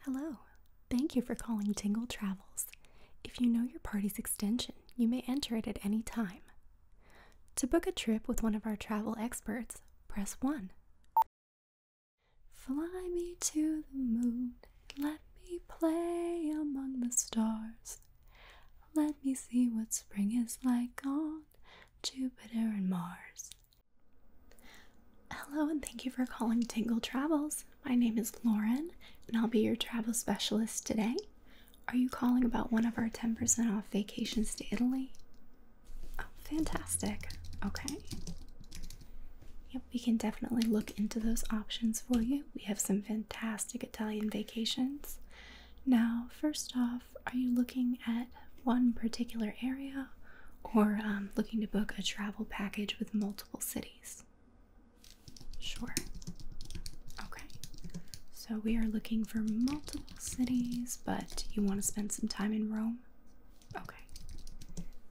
Hello. Thank you for calling Tingle Travels. If you know your party's extension, you may enter it at any time. To book a trip with one of our travel experts, press 1. Fly me to the moon, let me play among the stars. Let me see what spring is like on Jupiter and Mars. Hello, and thank you for calling Tingle Travels. My name is Lauren, and I'll be your travel specialist today. Are you calling about one of our 10% off vacations to Italy? Oh, fantastic. Okay. Yep, we can definitely look into those options for you. We have some fantastic Italian vacations. Now, first off, are you looking at one particular area or um, looking to book a travel package with multiple cities? Sure. Okay. So we are looking for multiple cities, but you want to spend some time in Rome? Okay.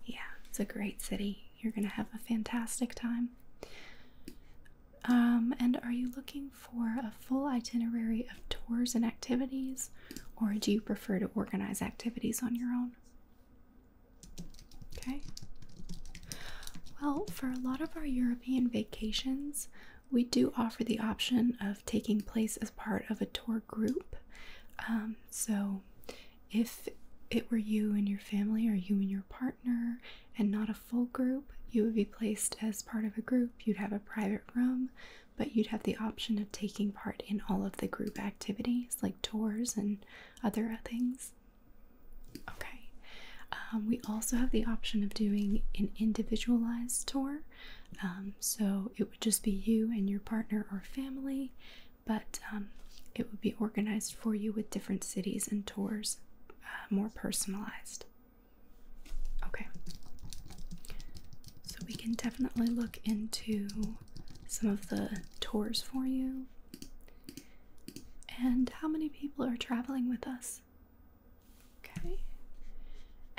Yeah, it's a great city. You're going to have a fantastic time. Um, and are you looking for a full itinerary of tours and activities, or do you prefer to organize activities on your own? Okay. Well, for a lot of our European vacations, we do offer the option of taking place as part of a tour group. Um, so, if it were you and your family, or you and your partner, and not a full group, you would be placed as part of a group. You'd have a private room but you'd have the option of taking part in all of the group activities like tours and other things. Okay, um, we also have the option of doing an individualized tour. Um, so it would just be you and your partner or family, but um, it would be organized for you with different cities and tours, uh, more personalized. Okay, so we can definitely look into some of the tours for you. And how many people are traveling with us? Okay.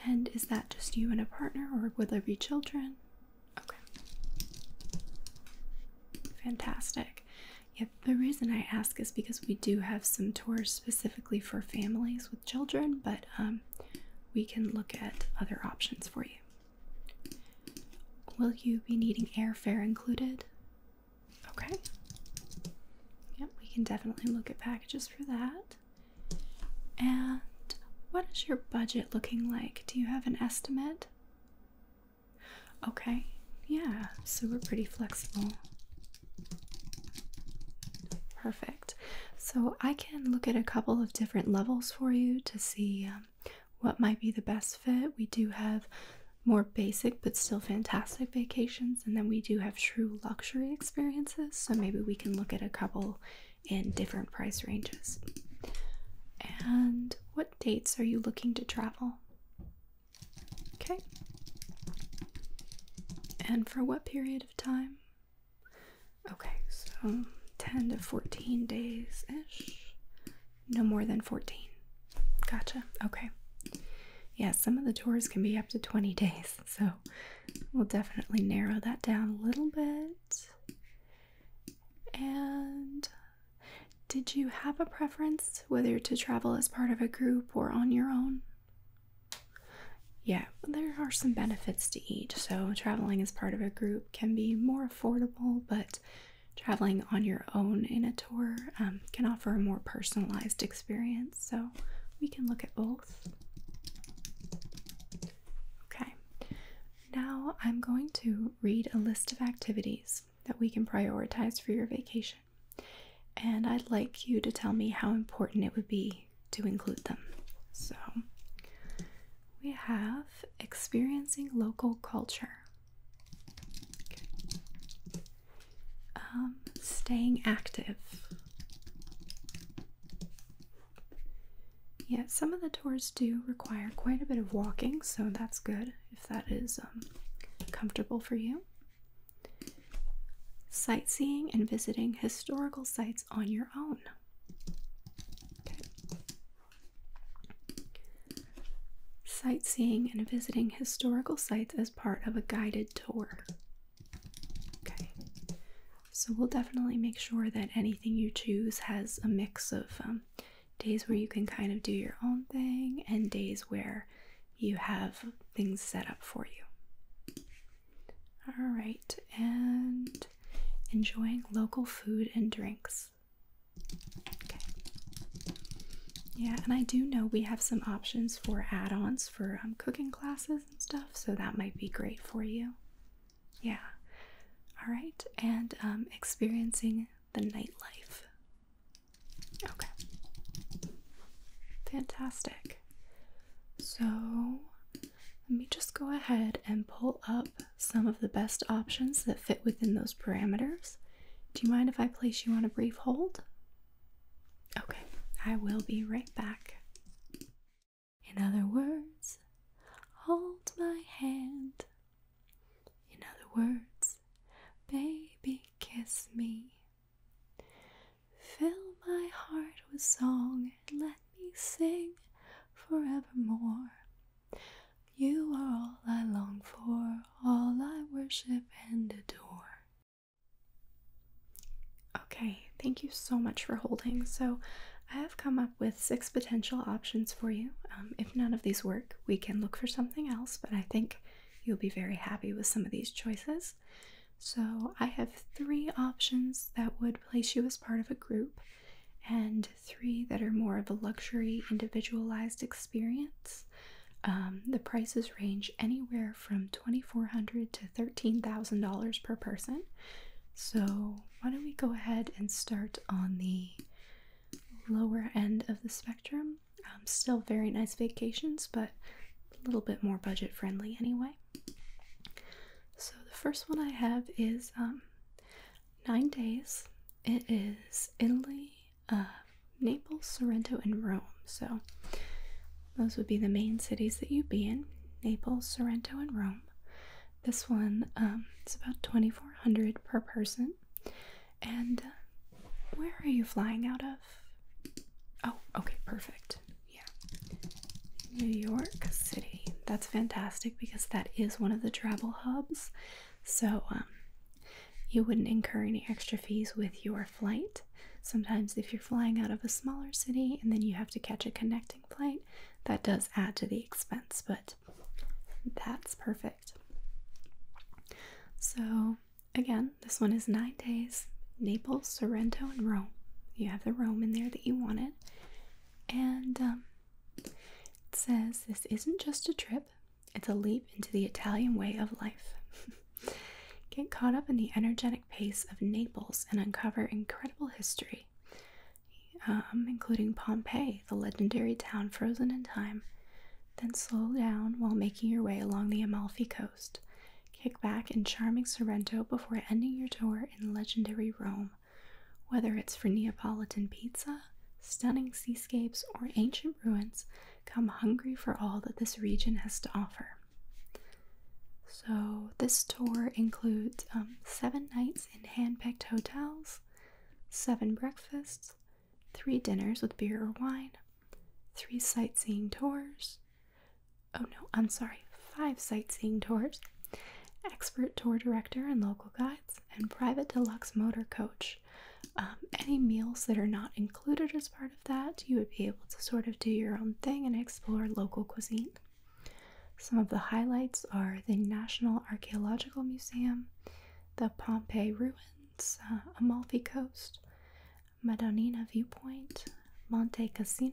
And is that just you and a partner, or would there be children? Okay. Fantastic. Yeah, the reason I ask is because we do have some tours specifically for families with children, but um, we can look at other options for you. Will you be needing airfare included? Okay. Yep, we can definitely look at packages for that. And what is your budget looking like? Do you have an estimate? Okay, yeah, so we're pretty flexible. Perfect. So I can look at a couple of different levels for you to see um, what might be the best fit. We do have more basic but still fantastic vacations, and then we do have true luxury experiences. So maybe we can look at a couple in different price ranges. And what dates are you looking to travel? Okay. And for what period of time? Okay, so 10 to 14 days ish. No more than 14. Gotcha. Okay. Yeah, some of the tours can be up to 20 days, so we'll definitely narrow that down a little bit. And did you have a preference whether to travel as part of a group or on your own? Yeah, there are some benefits to each. So, traveling as part of a group can be more affordable, but traveling on your own in a tour um, can offer a more personalized experience. So we can look at both. Okay, now I'm going to read a list of activities that we can prioritize for your vacation. And I'd like you to tell me how important it would be to include them. So we have experiencing local culture, um, staying active. Yeah, some of the tours do require quite a bit of walking, so that's good if that is um, comfortable for you. Sightseeing and visiting historical sites on your own. Sightseeing and visiting historical sites as part of a guided tour. Okay. So we'll definitely make sure that anything you choose has a mix of um, days where you can kind of do your own thing and days where you have things set up for you. All right, and enjoying local food and drinks. Okay. Yeah, and I do know we have some options for add ons for um, cooking classes and stuff, so that might be great for you. Yeah. All right, and um, experiencing the nightlife. Okay. Fantastic. So let me just go ahead and pull up some of the best options that fit within those parameters. Do you mind if I place you on a brief hold? Okay, I will be right back. In other words, hold my hand. In other words, baby, kiss me. Fill my heart with song and let me sing forevermore. You are all I long for, all I worship and adore. Okay, thank you so much for holding. So, I have come up with six potential options for you. Um, if none of these work, we can look for something else, but I think you'll be very happy with some of these choices. So, I have three options that would place you as part of a group and three that are more of a luxury, individualized experience. Um, the prices range anywhere from $2,400 to $13,000 per person. So, why don't we go ahead and start on the lower end of the spectrum? Um, still very nice vacations, but a little bit more budget friendly anyway. So the first one I have is um, Nine Days. It is Italy, uh, Naples, Sorrento, and Rome. So those would be the main cities that you'd be in Naples, Sorrento, and Rome. This one um, is about 2400 per person. And uh, where are you flying out of? Oh, okay, perfect. Yeah. New York City. That's fantastic because that is one of the travel hubs. So um, you wouldn't incur any extra fees with your flight. Sometimes, if you're flying out of a smaller city and then you have to catch a connecting flight, that does add to the expense, but that's perfect. So, again, this one is nine days Naples, Sorrento, and Rome. You have the Rome in there that you wanted. And um, says this isn't just a trip, it's a leap into the Italian way of life. Get caught up in the energetic pace of Naples and uncover incredible history, um, including Pompeii, the legendary town frozen in time. Then slow down while making your way along the Amalfi Coast. Kick back in charming Sorrento before ending your tour in legendary Rome. Whether it's for Neapolitan pizza, stunning seascapes, or ancient ruins, come hungry for all that this region has to offer. So, this tour includes um, seven nights in hand picked hotels, seven breakfasts, three dinners with beer or wine, three sightseeing tours. Oh no, I'm sorry, five sightseeing tours, expert tour director and local guides, and private deluxe motor coach. Um, any meals that are not included as part of that, you would be able to sort of do your own thing and explore local cuisine. Some of the highlights are the National Archaeological Museum, the Pompeii Ruins, uh, Amalfi Coast, Madonina Viewpoint, Monte Cassino,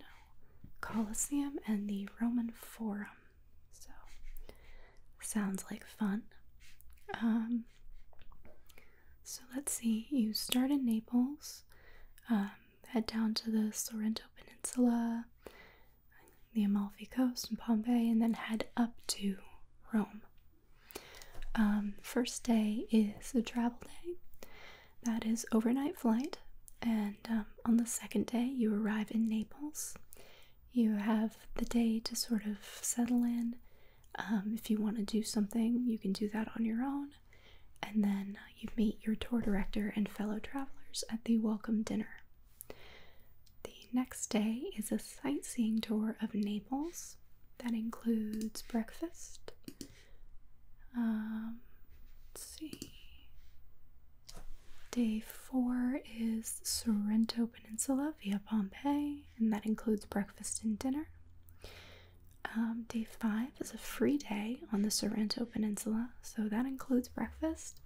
Colosseum and the Roman Forum. So, sounds like fun. Um, so, let's see. You start in Naples, um, head down to the Sorrento Peninsula, the Amalfi Coast, and Pompeii, and then head up to Rome. Um, first day is a travel day. That is overnight flight and um, on the second day you arrive in Naples. You have the day to sort of settle in. Um, if you want to do something, you can do that on your own. And then you meet your tour director and fellow travelers at the welcome dinner. The next day is a sightseeing tour of Naples that includes breakfast. Um, let's see. Day four is Sorrento Peninsula via Pompeii, and that includes breakfast and dinner. Um, day five is a free day on the Sorrento Peninsula, so that includes breakfast,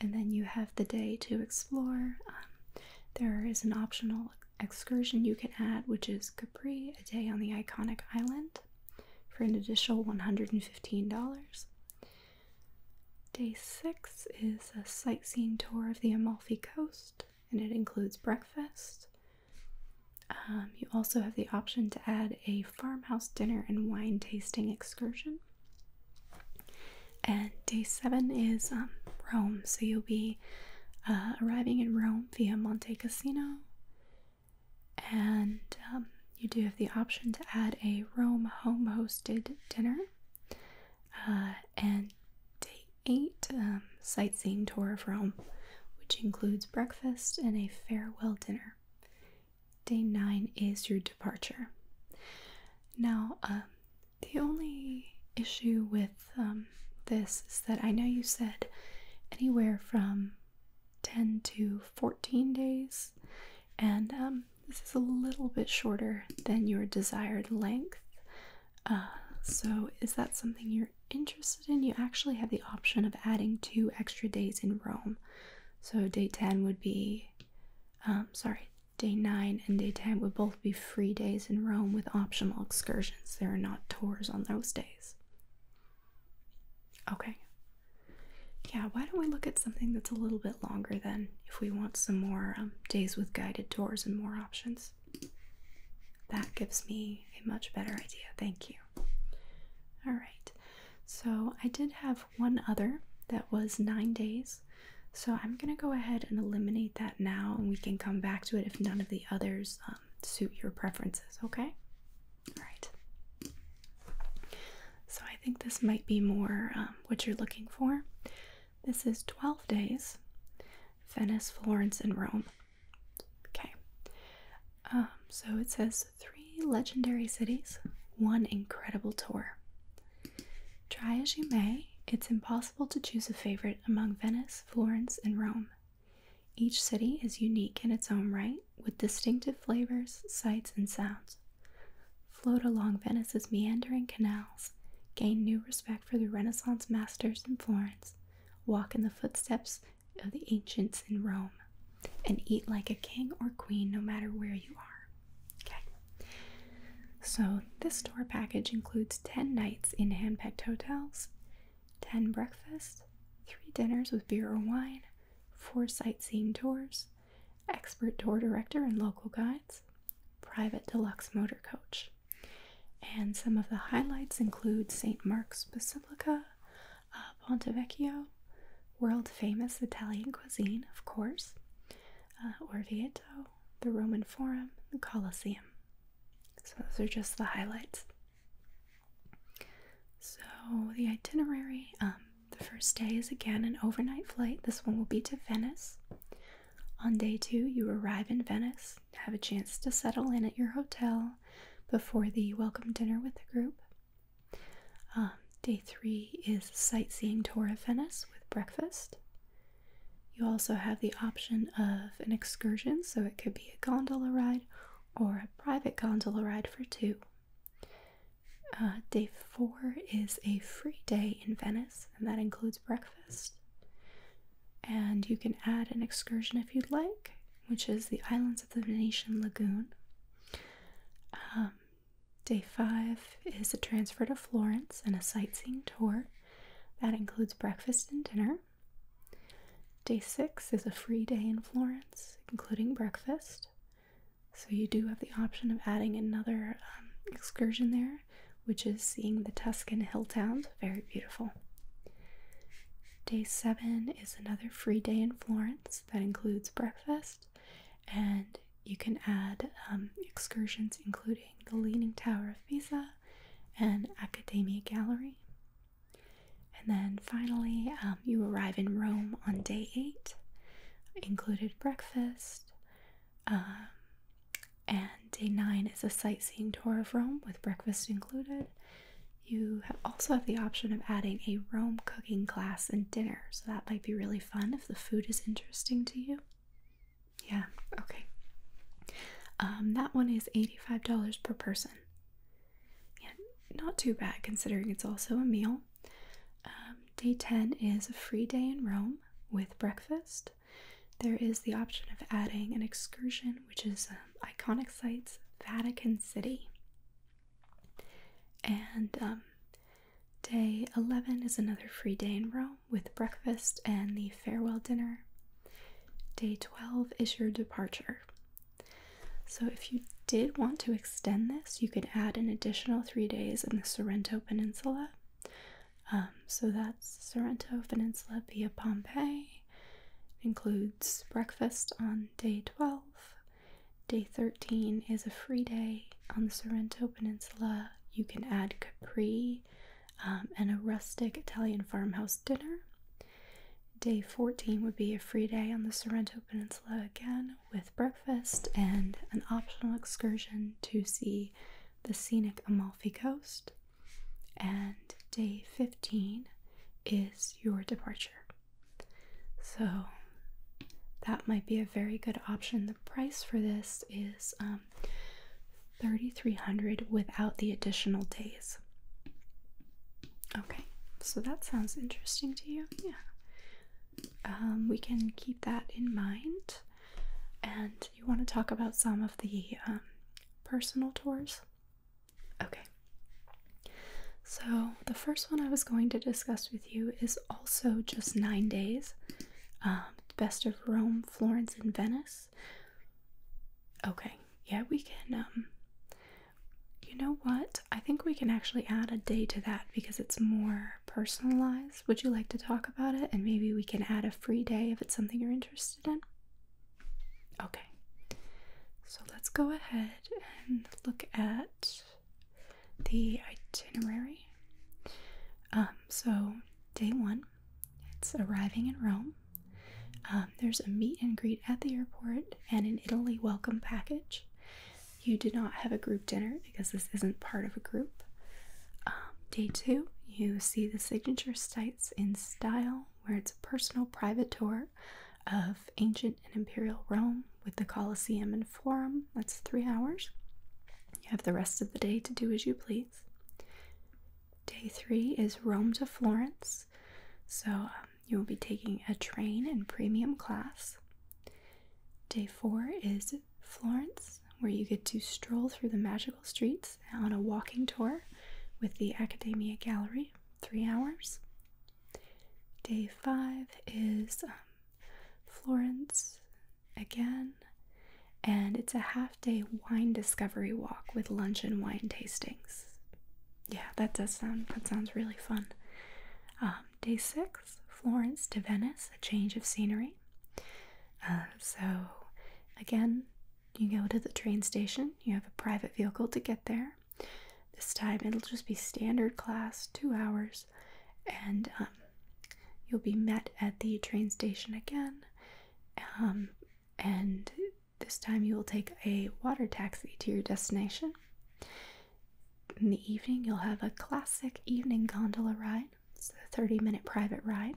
and then you have the day to explore. Um, there is an optional excursion you can add, which is Capri, a day on the iconic island for an additional $115. Day 6 is a sightseeing tour of the Amalfi Coast and it includes breakfast. Um, you also have the option to add a farmhouse dinner and wine tasting excursion. And day 7 is um, Rome, so you'll be uh, arriving in Rome via Monte Cassino and um, you do have the option to add a Rome home hosted dinner uh, and day eight um, sightseeing tour of Rome, which includes breakfast and a farewell dinner. Day nine is your departure. Now, um, the only issue with this is that I know you said anywhere from 10 to 14 days, and um, this is a little bit shorter than your desired length. Uh, so, is that something you're interested in? You actually have the option of adding two extra days in Rome. So, day 10 would be, um, sorry, day 9 and day 10 would both be free days in Rome with optional excursions. There are not tours on those days. Okay. Yeah, why don't we look at something that's a little bit longer then if we want some more um, days with guided tours and more options? That gives me a much better idea. Thank you. All right. So I did have one other that was nine days. So I'm going to go ahead and eliminate that now and we can come back to it if none of the others um, suit your preferences, okay? Alright. So I think this might be more um, what you're looking for. This is 12 days, Venice, Florence, and Rome. Okay. Um, so it says three legendary cities, one incredible tour. Try as you may, it's impossible to choose a favorite among Venice, Florence, and Rome. Each city is unique in its own right with distinctive flavors, sights, and sounds. Float along Venice's meandering canals, gain new respect for the Renaissance masters in Florence, walk in the footsteps of the ancients in Rome, and eat like a king or queen no matter where you are. Okay. So, this tour package includes 10 nights in hand picked hotels, 10 breakfasts, 3 dinners with beer or wine, for sightseeing tours, expert tour director and local guides, private deluxe motor coach. And some of the highlights include St. Mark's Basilica, uh, Ponte Vecchio, world famous Italian cuisine, of course, uh, Orvieto, the Roman Forum, the Colosseum. So, those are just the highlights. So, the itinerary um, the first day is again an overnight flight. This one will be to Venice. On day two, you arrive in Venice, have a chance to settle in at your hotel before the welcome dinner with the group. Um, day three is sightseeing tour of Venice with breakfast. You also have the option of an excursion, so it could be a gondola ride or a private gondola ride for two. Uh, day four is a free day in Venice, and that includes breakfast. And you can add an excursion if you'd like, which is the islands of the Venetian Lagoon. Um, day five is a transfer to Florence and a sightseeing tour. That includes breakfast and dinner. Day six is a free day in Florence, including breakfast. So you do have the option of adding another um, excursion there, which is seeing the Tuscan hill towns. Very beautiful. Day seven is another free day in Florence that includes breakfast, and you can add um, excursions including the Leaning Tower of Pisa and Academia Gallery. And then finally, um, you arrive in Rome on day eight, included breakfast. Um, and day nine is a sightseeing tour of Rome with breakfast included. You also have the option of adding a Rome cooking class and dinner, so that might be really fun if the food is interesting to you. Yeah, okay. Um, that one is $85 per person. Yeah, not too bad considering it's also a meal. Um, day 10 is a free day in Rome with breakfast. There is the option of adding an excursion, which is um, iconic sites, Vatican City. And um, day 11 is another free day in Rome with breakfast and the farewell dinner. Day 12 is your departure, so, if you did want to extend this, you could add an additional three days in the Sorrento Peninsula. Um, so, that's Sorrento Peninsula via Pompeii. includes breakfast on day 12. Day 13 is a free day on the Sorrento Peninsula. You can add Capri um, and a rustic Italian farmhouse dinner. Day 14 would be a free day on the Sorrento Peninsula again with breakfast and an optional excursion to see the scenic Amalfi Coast. And day 15 is your departure. So that might be a very good option. The price for this is um, 3300 without the additional days. Okay, so that sounds interesting to you. Yeah. Um, we can keep that in mind. And you want to talk about some of the um, personal tours? Okay. So, the first one I was going to discuss with you is also just nine days. Um, best of Rome, Florence, and Venice. Okay, yeah, we can. You know what? I think we can actually add a day to that because it's more personalized. Would you like to talk about it? And maybe we can add a free day if it's something you're interested in. Okay. So let's go ahead and look at the itinerary. Um, so, day one, it's arriving in Rome. Um, there's a meet and greet at the airport and an Italy welcome package you do not have a group dinner because this isn't part of a group. Um, day two, you see the signature sites in style, where it's a personal private tour of ancient and imperial Rome with the Colosseum and Forum. That's three hours. You have the rest of the day to do as you please. Day three is Rome to Florence. So, um, you will be taking a train in premium class. Day four is Florence, where you get to stroll through the magical streets on a walking tour with the Academia Gallery, three hours. Day five is um, Florence again, and it's a half day wine discovery walk with lunch and wine tastings. Yeah, that does sound that sounds really fun. Um, um, day six, Florence to Venice, a change of scenery. Um, so, again, you go to the train station, you have a private vehicle to get there. This time it'll just be standard class, two hours, and um, you'll be met at the train station again. and this time you will take a water taxi to your destination. In the evening, you'll have a classic evening gondola ride. It's a 30 minute private ride.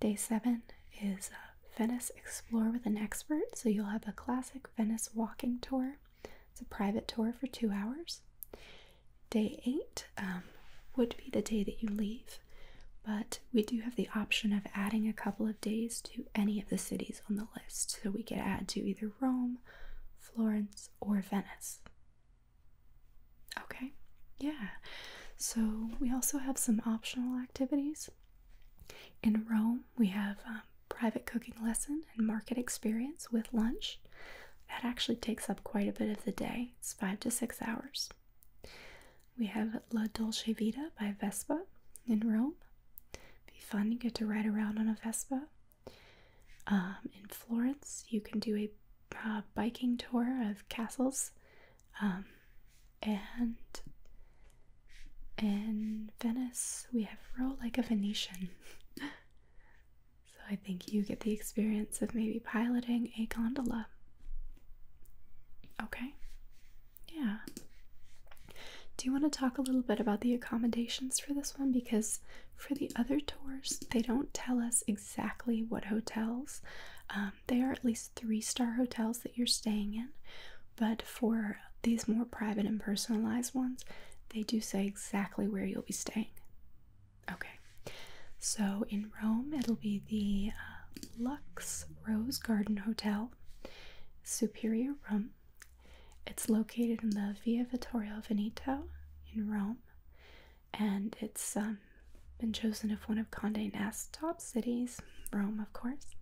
Day seven is uh, Venice Explore with an Expert. So you'll have a classic Venice walking tour. It's a private tour for two hours. Day eight um, would be the day that you leave, but we do have the option of adding a couple of days to any of the cities on the list, so we could add to either Rome, Florence, or Venice. Okay, yeah. So we also have some optional activities. In Rome, we have um, private cooking lesson and market experience with lunch. That actually takes up quite a bit of the day. It's five to six hours. We have La Dolce Vita by Vespa in Rome. Be fun. You get to ride around on a Vespa. Um, in Florence, you can do a uh, biking tour of castles. Um, and in Venice, we have row like a Venetian. so I think you get the experience of maybe piloting a gondola. Okay. Yeah. Do you want to talk a little bit about the accommodations for this one? Because for the other tours, they don't tell us exactly what hotels. Um, they are at least three star hotels that you're staying in. But for these more private and personalized ones, they do say exactly where you'll be staying. Okay, so in Rome, it'll be the uh, Lux Rose Garden Hotel, Superior Room, it's located in the Via Vittorio Veneto in Rome, and it's um, been chosen as one of Condé Nast's top cities, Rome, of course.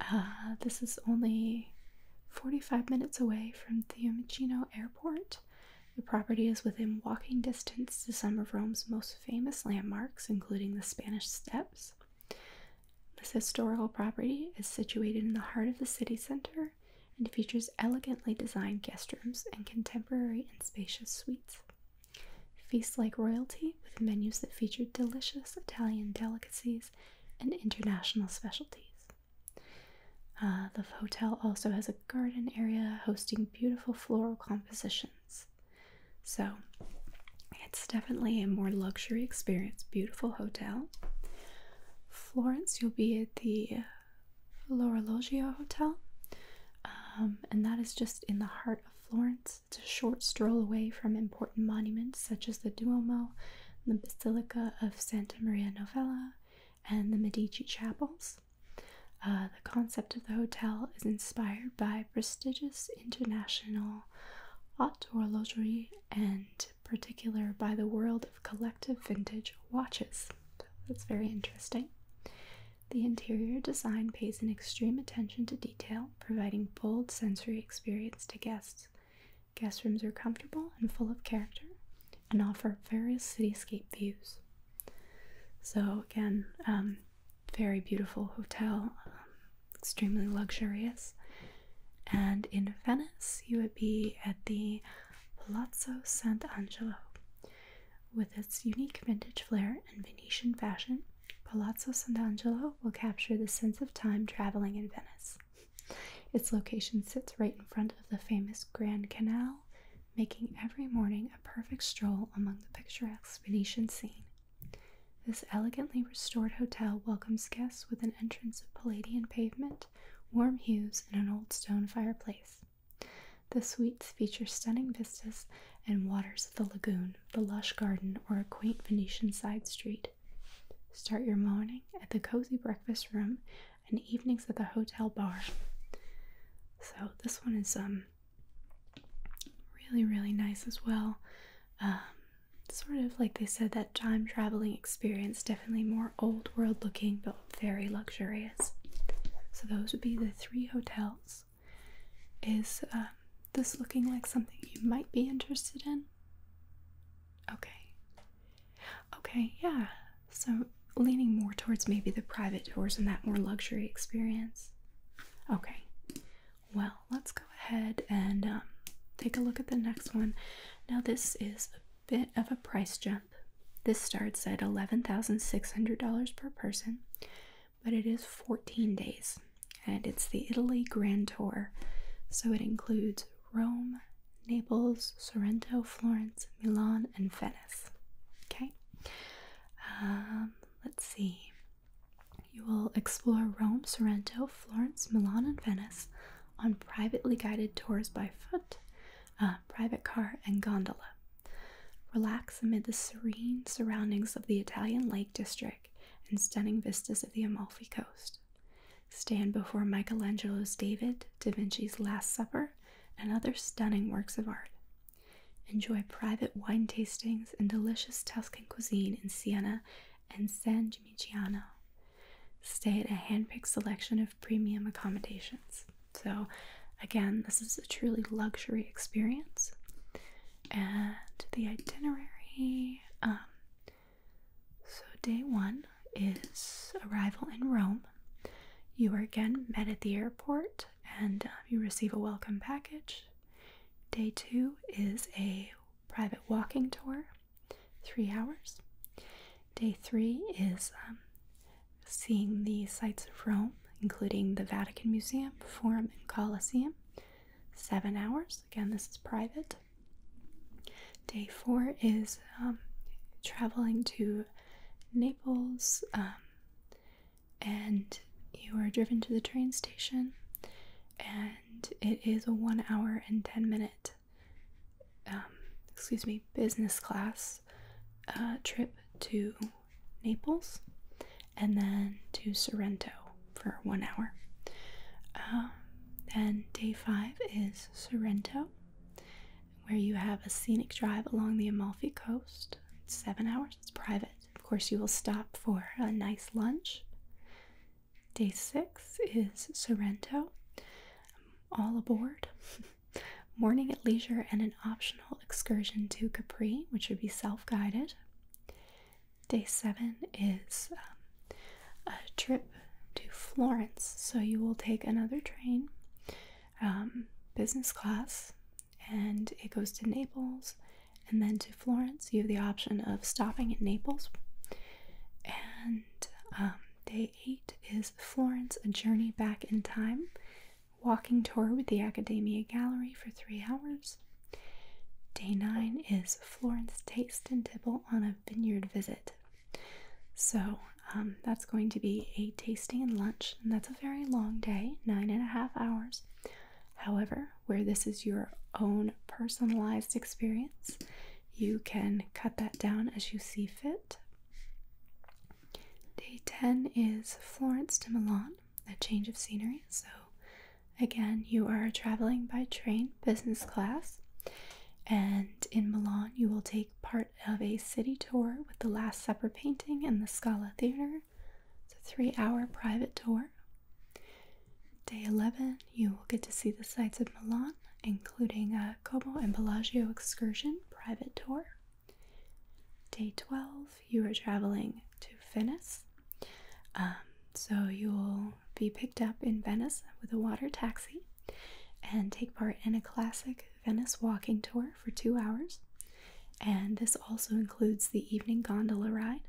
Uh, this is only 45 minutes away from the Fiumicino Airport. The property is within walking distance to some of Rome's most famous landmarks, including the Spanish Steps, this historical property is situated in the heart of the city center and features elegantly designed guest rooms and contemporary and spacious suites. Feast like royalty with menus that feature delicious Italian delicacies and international specialties. Uh, the hotel also has a garden area hosting beautiful floral compositions. So, it's definitely a more luxury experience. Beautiful hotel. Florence, you'll be at the L'Orologio Hotel, um, and that is just in the heart of Florence. It's a short stroll away from important monuments such as the Duomo, the Basilica of Santa Maria Novella, and the Medici Chapels. Uh, the concept of the hotel is inspired by prestigious international haute luxury and particular by the world of collective vintage watches. That's very interesting. The interior design pays an extreme attention to detail, providing bold sensory experience to guests. Guest rooms are comfortable and full of character and offer various cityscape views. So, again, um, very beautiful hotel. Um, extremely luxurious. And in Venice, you would be at the Palazzo Sant'Angelo. With its unique vintage flair and Venetian fashion, Palazzo Sant'Angelo will capture the sense of time traveling in Venice. Its location sits right in front of the famous Grand Canal, making every morning a perfect stroll among the picturesque Venetian scene. This elegantly restored hotel welcomes guests with an entrance of Palladian pavement, warm hues, and an old stone fireplace. The suites feature stunning vistas and waters of the lagoon, the lush garden, or a quaint Venetian side street. Start your morning at the cozy breakfast room and evenings at the hotel bar. So this one is um really really nice as well. Um, sort of like they said that time traveling experience definitely more old world looking but very luxurious so those would be the three hotels is um, this looking like something you might be interested in okay okay yeah so leaning more towards maybe the private tours and that more luxury experience okay well, let's go ahead and um, take a look at the next one. Now, this is a bit of a price jump. This starts at $11,600 per person, but it is 14 days and it's the Italy Grand Tour. So it includes Rome, Naples, Sorrento, Florence, Milan, and Venice. Okay, um, let's see. You will explore Rome, Sorrento, Florence, Milan, and Venice on privately guided tours by foot, private car, and gondola. Relax amid the serene surroundings of the Italian Lake District and stunning vistas of the Amalfi Coast. Stand before Michelangelo's David, Da Vinci's Last Supper, and other stunning works of art. Enjoy private wine tastings and delicious Tuscan cuisine in Siena and San Gimignano. Stay at a handpicked selection of premium accommodations. So, again, this is a truly luxury experience. And the itinerary um, so, day one is arrival in Rome. You are again met at the airport and uh, you receive a welcome package. Day two is a private walking tour, three hours. Day three is um, seeing the sights of Rome, including the Vatican Museum, Forum, and Colosseum, seven hours. Again, this is private. Day four is um, traveling to Naples, um, and you are driven to the train station and it is a one hour and 10 minute, um, excuse me, business class uh, trip to Naples and then to Sorrento for one hour. Um, then day five is Sorrento, where you have a scenic drive along the Amalfi Coast. seven hours, it's private. Of course, you will stop for a nice lunch. Day six is Sorrento. all aboard. Morning at leisure and an optional excursion to Capri, which would be self guided. Day seven is um, a trip to Florence. So you will take another train, um, business class, and it goes to Naples and then to Florence, you have the option of stopping at Naples. And um, day eight is Florence, a journey back in time, walking tour with the Academia Gallery for three hours. Day nine is Florence Taste and Tipple on a vineyard visit. So um, that's going to be a tasting and lunch, and that's a very long day, nine and a half hours. However, where this is your own personalized experience, you can cut that down as you see fit. Day 10 is Florence to Milan, a change of scenery. So, again, you are traveling by train, business class, and in Milan, you will take part of a city tour with the Last Supper painting and the Scala Theater. It's a three hour private tour Day 11, you will get to see the sights of Milan, including a Como and Bellagio excursion private tour. Day 12, you are traveling to Venice. Um, so you'll be picked up in Venice with a water taxi and take part in a classic Venice walking tour for two hours. And this also includes the evening gondola ride.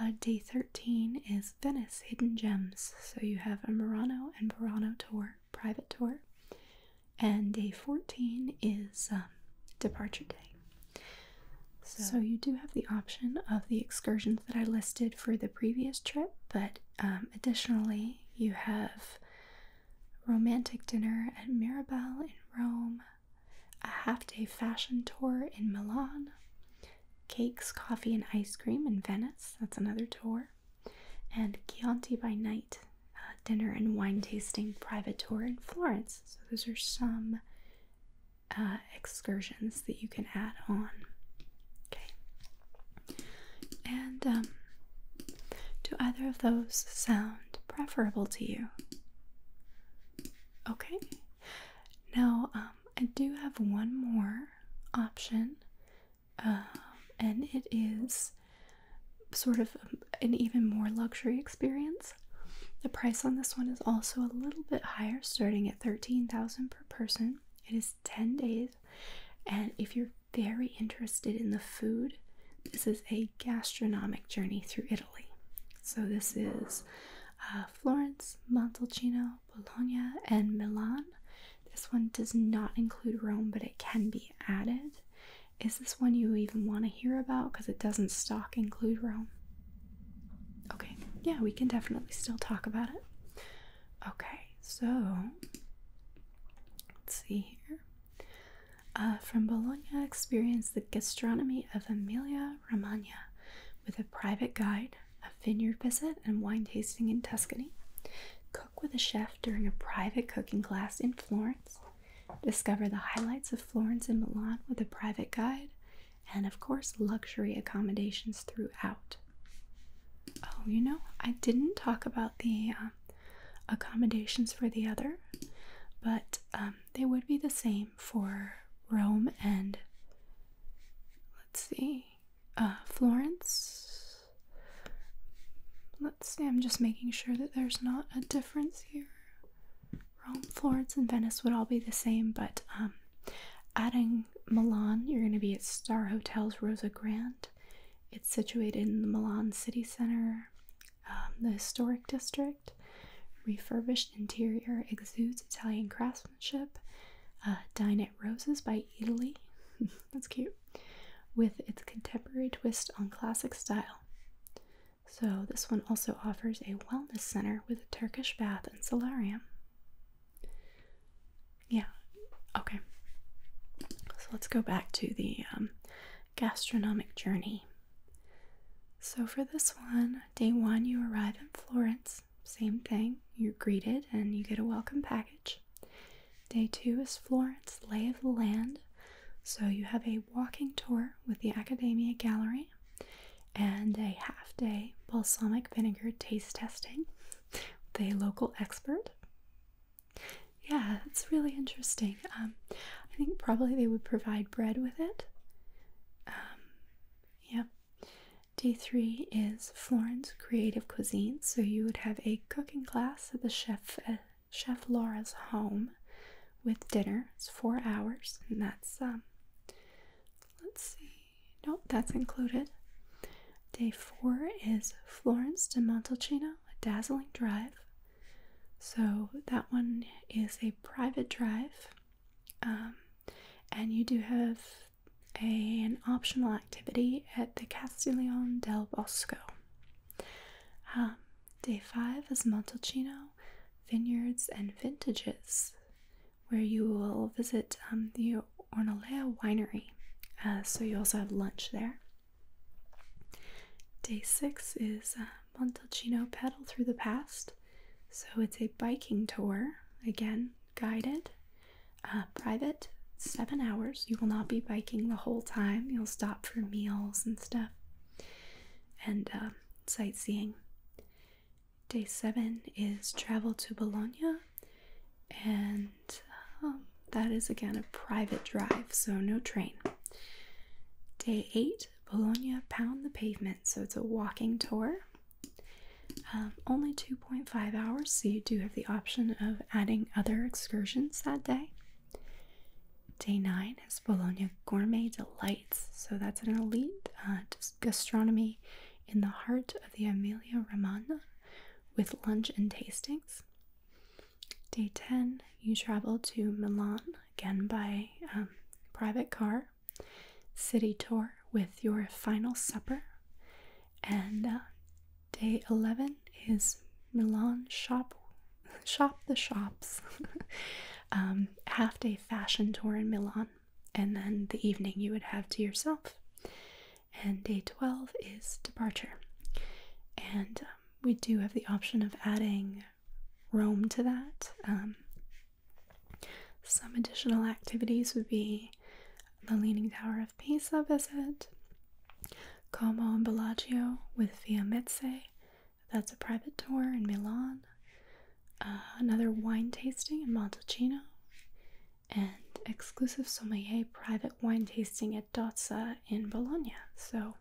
Uh, day 13 is Venice Hidden Gems. So you have a Murano and Burano tour, private tour. And day 14 is um, Departure Day. So, you do have the option of the excursions that I listed for the previous trip, but um, additionally, you have romantic dinner at Mirabelle in Rome, a half day fashion tour in Milan, Cakes, Coffee, and Ice Cream in Venice. That's another tour. And Chianti by Night, Dinner and Wine Tasting Private Tour in Florence. So, those are some uh, excursions that you can add on. Okay. And um, do either of those sound preferable to you? Okay. Now, um, I do have one more option, um, and it is sort of an even more luxury experience. The price on this one is also a little bit higher, starting at 13000 per person. It is 10 days, and if you're very interested in the food, this is a gastronomic journey through Italy. So, this is uh, Florence, Montalcino, Bologna, and Milan. This one does not include Rome, but it can be added. Is this one you even want to hear about? Because it doesn't stock include Rome. Okay, yeah, we can definitely still talk about it. Okay, so let's see here. Uh, from Bologna, experience the gastronomy of Emilia Romagna with a private guide a vineyard visit, and wine tasting in Tuscany. Cook with a chef during a private cooking class in Florence. Discover the highlights of Florence and Milan with a private guide. And of course, luxury accommodations throughout. Oh, you know, I didn't talk about the um, accommodations for the other, but um, they would be the same for Rome and Let's see. Uh, Florence. Let's see, I'm just making sure that there's not a difference here. Rome, Florence, and Venice would all be the same, but um, adding Milan, you're going to be at Star Hotels Rosa Grande. It's situated in the Milan city center, um, the historic district, refurbished interior exudes Italian craftsmanship. Uh, Dinette Roses by Italy. That's cute. With its contemporary twist on classic style. So, this one also offers a wellness center with a Turkish bath and solarium. Yeah, okay. So, let's go back to the um, gastronomic journey. So, for this one, day one, you arrive in Florence same thing. You're greeted and you get a welcome package. Day two is Florence Lay of the Land. So you have a walking tour with the Academia Gallery and a half day balsamic vinegar taste testing with a local expert. Yeah, it's really interesting. Um, I think probably they would provide bread with it. Um, yeah. Day three is Florence Creative Cuisine. So you would have a cooking class at the chef uh, Chef Laura's home with dinner. It's four hours, and that's um. Let's see. Nope, that's included. Day four is Florence to Montalcino, a dazzling drive. So that one is a private drive. Um, and you do have an optional activity at the Castiglione del Bosco. Um, day 5 is Montalcino, Vineyards and Vintages, where you will visit um, the Ornolea Winery. Uh, so you also have lunch there. Day 6 is uh, Montalcino Pedal Through the Past, so it's a biking tour, again, guided, uh, private, seven hours. You will not be biking the whole time, you'll stop for meals and stuff and uh, sightseeing. Day seven is travel to Bologna, and um, that is again a private drive, so no train. Day eight, Bologna Pound the Pavement, so it's a walking tour. Um, only 2.5 hours, so you do have the option of adding other excursions that day. Day 9 is Bologna Gourmet Delights, so that's an elite uh, gastronomy in the heart of the Emilia Romagna with lunch and tastings. Day 10, you travel to Milan again by um, private car city tour with your final supper. And uh, day 11 is Milan shop shop the shops. Um, half day fashion tour in Milan. And then the evening you would have to yourself. And day 12 is departure. And um, we do have the option of adding Rome to that. Um, some additional activities would be the Leaning Tower of Pisa visit, Como and Bellagio with Via Mezze, that's a private tour in Milan, uh, another wine tasting in Montalcino, and exclusive sommelier private wine tasting at Dozza in Bologna. So,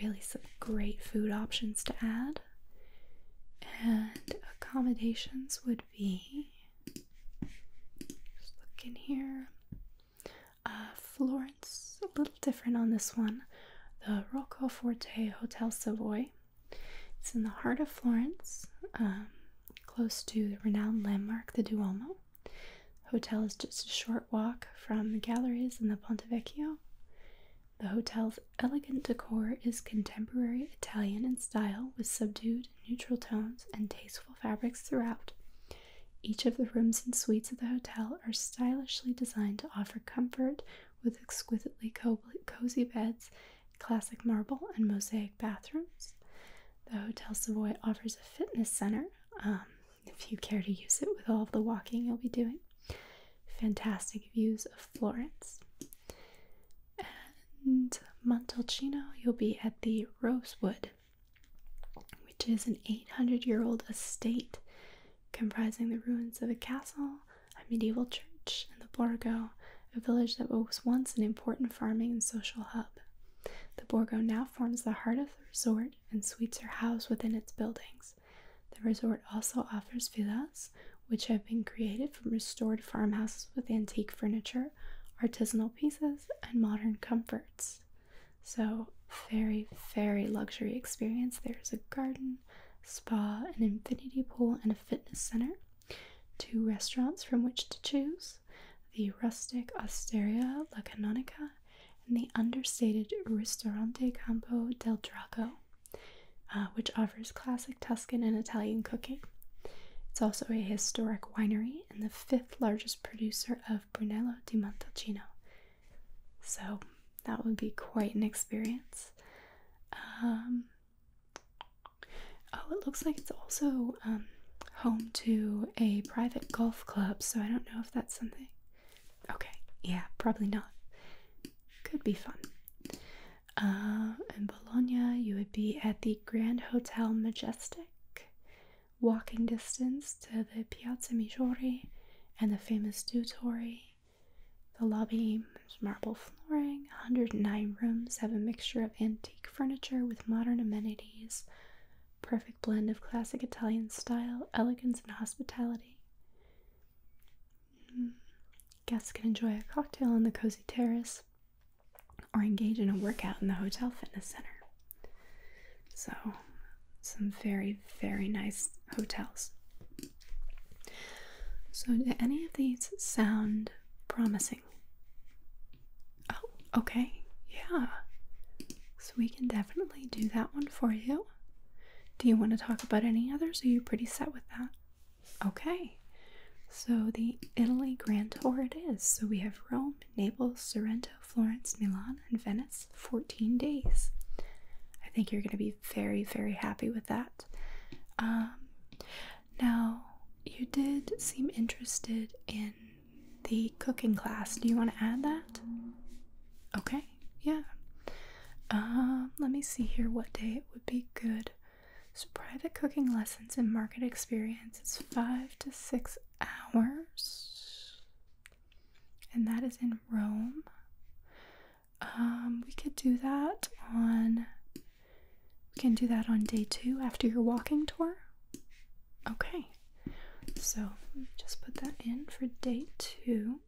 really some great food options to add. And accommodations would be just look in here. Uh, Florence, a little different on this one. The Rocco Forte Hotel Savoy. It's in the heart of Florence, um, close to the renowned landmark, the Duomo. The hotel is just a short walk from the galleries in the Ponte Vecchio. The hotel's elegant decor is contemporary Italian in style with subdued, neutral tones and tasteful fabrics throughout. Each of the rooms and suites of the hotel are stylishly designed to offer comfort with exquisitely cozy beds, classic marble, and mosaic bathrooms. The Hotel Savoy offers a fitness center um, if you care to use it with all of the walking you'll be doing. Fantastic views of Florence. And Montalcino, you'll be at the Rosewood, which is an 800 year old estate comprising the ruins of a castle, a medieval church, and the Borgo, a village that was once an important farming and social hub. The Borgo now forms the heart of the resort, and suites are housed within its buildings. The resort also offers villas, which have been created from restored farmhouses with antique furniture, artisanal pieces, and modern comforts. So, very, very luxury experience. There's a garden, spa, an infinity pool, and a fitness center. Two restaurants from which to choose the rustic Osteria La Canonica and the understated Ristorante Campo del Drago. Uh, which offers classic Tuscan and Italian cooking. It's also a historic winery and the fifth largest producer of Brunello di Montalcino. So that would be quite an experience. Um, oh, it looks like it's also um, home to a private golf club, so I don't know if that's something. Okay, yeah, probably not. Could be fun. Uh, in Bologna, you would be at the Grand Hotel Majestic, walking distance to the Piazza Maggiore and the famous Du Dutori. The lobby marble flooring, 109 rooms have a mixture of antique furniture with modern amenities, perfect blend of classic Italian style, elegance, and hospitality. Guests can enjoy a cocktail on the cozy terrace or engage in a workout in the hotel fitness center. So, some very, very nice hotels. So, any of these sound promising? Oh, okay. Yeah. So, we can definitely do that one for you. Do you want to talk about any others? Are you pretty set with that? Okay, so the Italy Grand Tour it is. So we have Rome, Naples, Sorrento, Florence, Milan, and Venice, 14 days. I think you're going to be very, very happy with that. Um, now, you did seem interested in the cooking class. Do you want to add that? Okay, yeah. Um, let me see here what day it would be good. So, private cooking lessons and market experience is five to six hours, and that is in Rome. Um, we could do that on. We can do that on day two after your walking tour. Okay, so just put that in for day two.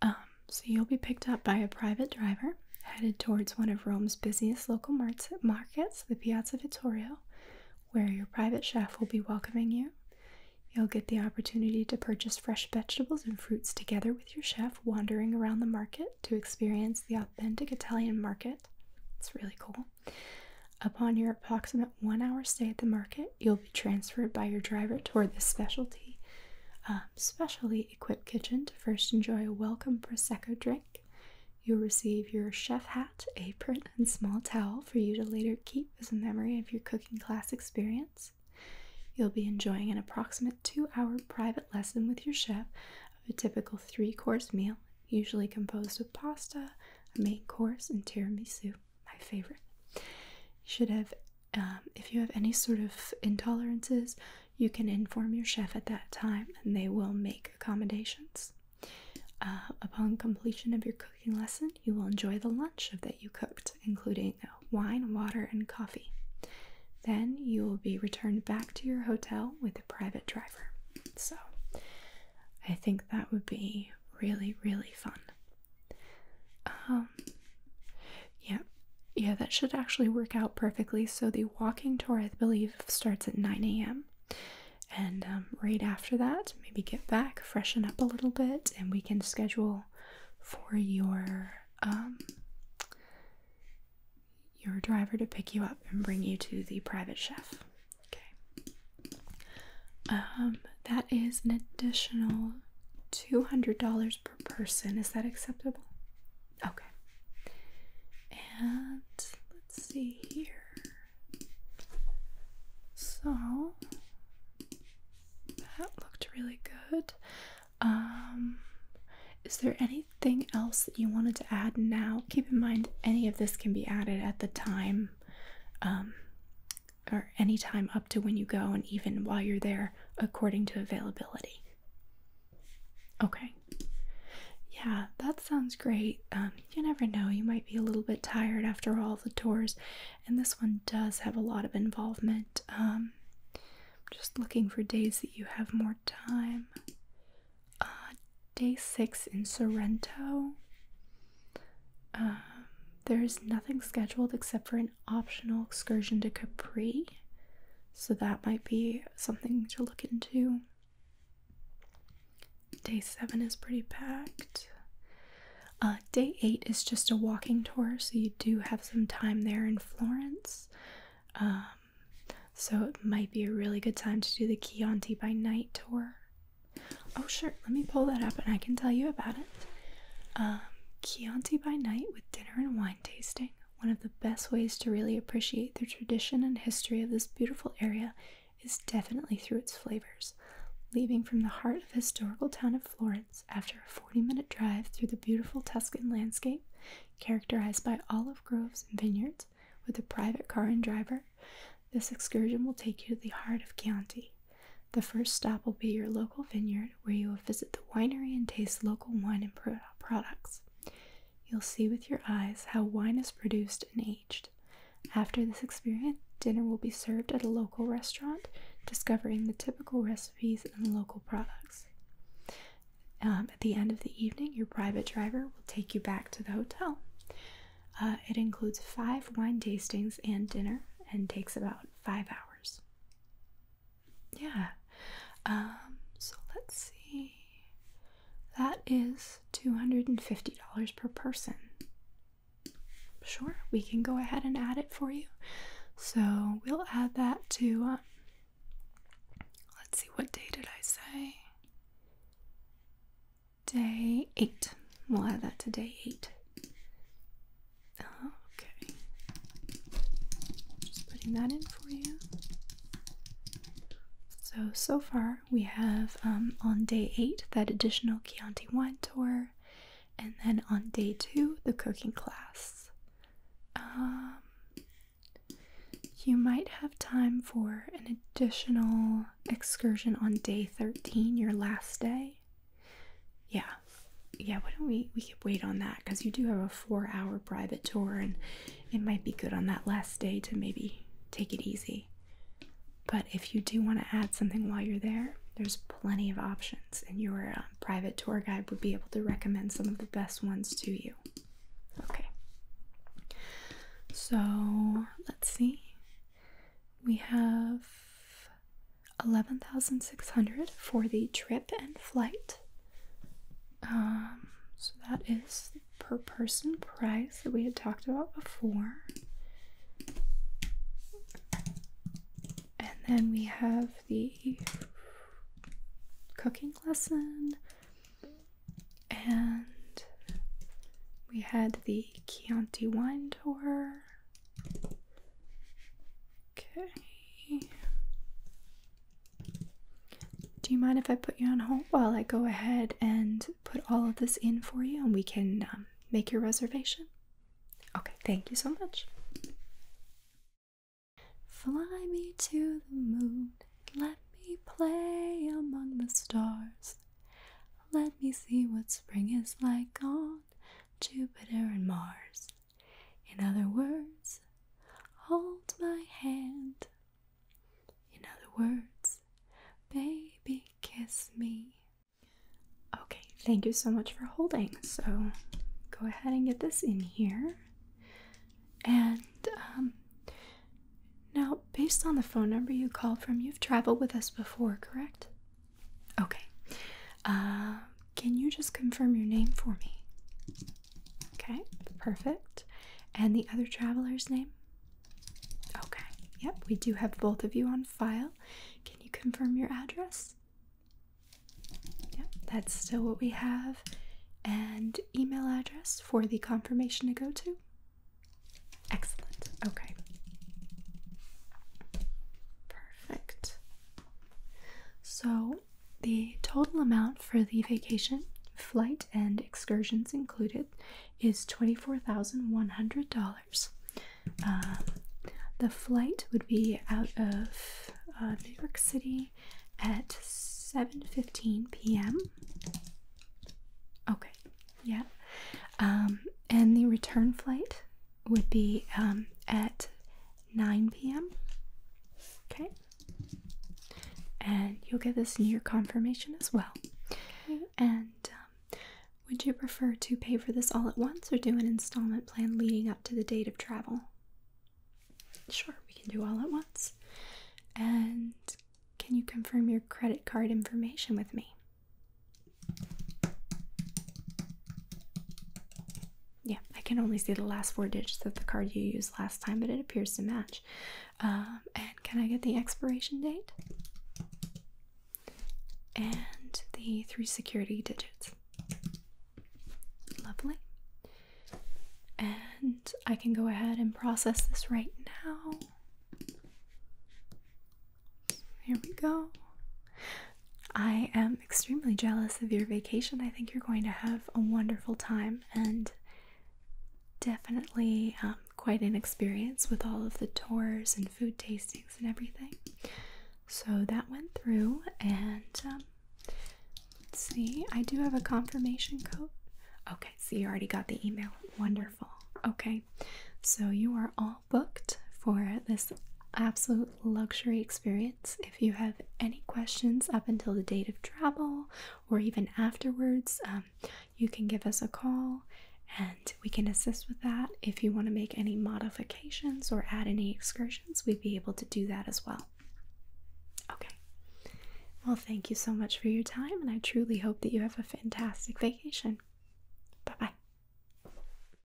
Um, so you'll be picked up by a private driver headed towards one of Rome's busiest local markets, the Piazza Vittorio, where your private chef will be welcoming you. You'll get the opportunity to purchase fresh vegetables and fruits together with your chef wandering around the market to experience the authentic Italian market. It's really cool. Upon your approximate one hour stay at the market, you'll be transferred by your driver toward the specialty, um, specially equipped kitchen to first enjoy a welcome Prosecco drink. You'll receive your chef hat, apron, and small towel for you to later keep as a memory of your cooking class experience. You'll be enjoying an approximate two hour private lesson with your chef of a typical three course meal, usually composed of pasta, a main course, and tiramisu, my favorite. You should have um, if you have any sort of intolerances, you can inform your chef at that time and they will make accommodations. Uh, upon completion of your cooking lesson, you will enjoy the lunch that you cooked, including wine, water, and coffee. Then you will be returned back to your hotel with a private driver. So I think that would be really, really fun. Um, yeah, yeah, that should actually work out perfectly. So the walking tour, I believe, starts at 9 a.m. And um, right after that, maybe get back, freshen up a little bit, and we can schedule for your um, your driver to pick you up and bring you to the private chef. Okay. Um, that is an additional $200 per person. Is that acceptable? Okay. And let's see here. So that looked really good. Um is there anything else that you wanted to add now? Keep in mind any of this can be added at the time um or any time up to when you go and even while you're there according to availability okay yeah that sounds great um, you never know you might be a little bit tired after all the tours and this one does have a lot of involvement um, just looking for days that you have more time uh, day six in sorrento um, there's nothing scheduled except for an optional excursion to Capri, so that might be something to look into. Day seven is pretty packed. Uh, day eight is just a walking tour, so you do have some time there in Florence. Um, so it might be a really good time to do the Chianti by Night tour. Oh, sure, let me pull that up and I can tell you about it. Um, Chianti by night with dinner and wine tasting. One of the best ways to really appreciate the tradition and history of this beautiful area is definitely through its flavors. Leaving from the heart of historical town of Florence after a 40-minute drive through the beautiful Tuscan landscape, characterized by olive groves and vineyards, with a private car and driver, this excursion will take you to the heart of Chianti, the first stop will be your local vineyard where you will visit the winery and taste local wine and products. You'll see with your eyes how wine is produced and aged. After this experience, dinner will be served at a local restaurant, discovering the typical recipes and local products. Um, at the end of the evening, your private driver will take you back to the hotel. Uh, it includes five wine tastings and dinner and takes about five hours. Yeah. Um, so let's see. That is $250 per person. Sure, we can go ahead and add it for you. So we'll add that to, um, let's see, what day did I say? Day eight. We'll add that to day eight. Okay. Just putting that in for you. So, so far we have um, on day 8 that additional Chianti wine tour, and then on day 2 the cooking class. Um, you might have time for an additional excursion on day 13, your last day yeah yeah why don't we we could wait on that because you do have a four hour private tour and it might be good on that last day to maybe take it easy but if you do want to add something while you're there there's plenty of options and your uh, private tour guide would be able to recommend some of the best ones to you okay so let's see we have 11600 for the trip and flight. Um, so that is per person price that we had talked about before. And then we have the cooking lesson and we had the Chianti wine tour Okay. Do you mind if I put you on hold while I go ahead and put all of this in for you and we can um, make your reservation? Okay, thank you so much. Fly me to the moon, let me play among the stars. Let me see what spring is like on Jupiter and Mars. In other words, hold my hand. In other words, baby, kiss me. Okay, thank you so much for holding. So go ahead and get this in here. And um, now, based on the phone number you called from, you've traveled with us before, correct? Okay. Uh, can you just confirm your name for me? Okay, perfect. And the other traveler's name? Okay, yep, we do have both of you on file. Can you confirm your address? Yep, that's still what we have. And email address for the confirmation to go to? Excellent, okay. Perfect. So, the total amount for the vacation, flight, and excursions included is $24,100. Um, the flight would be out of uh, New York City at 7:15 p.m. Okay, yeah. Um, and the return flight would be um, at 9 p.m. Okay, and you'll get this in your confirmation as well. and um, would you prefer to pay for this all at once or do an installment plan leading up to the date of travel? Sure, we can do all at once. And can you confirm your credit card information with me? Yeah, I can only see the last four digits of the card you used last time, but it appears to match. Um, and can I get the expiration date? And the three security digits. Lovely. And I can go ahead and process this right now. Here we go. I am extremely jealous of your vacation. I think you're going to have a wonderful time and definitely um, quite an experience with all of the tours and food tastings and everything. So that went through, and um, let's see, I do have a confirmation code. Okay, so you already got the email. Wonderful. Okay, so you are all booked for this absolute luxury experience. If you have any questions up until the date of travel or even afterwards, um, you can give us a call and we can assist with that. If you want to make any modifications or add any excursions, we'd be able to do that as well. Okay. Well, thank you so much for your time, and I truly hope that you have a fantastic vacation. Bye bye.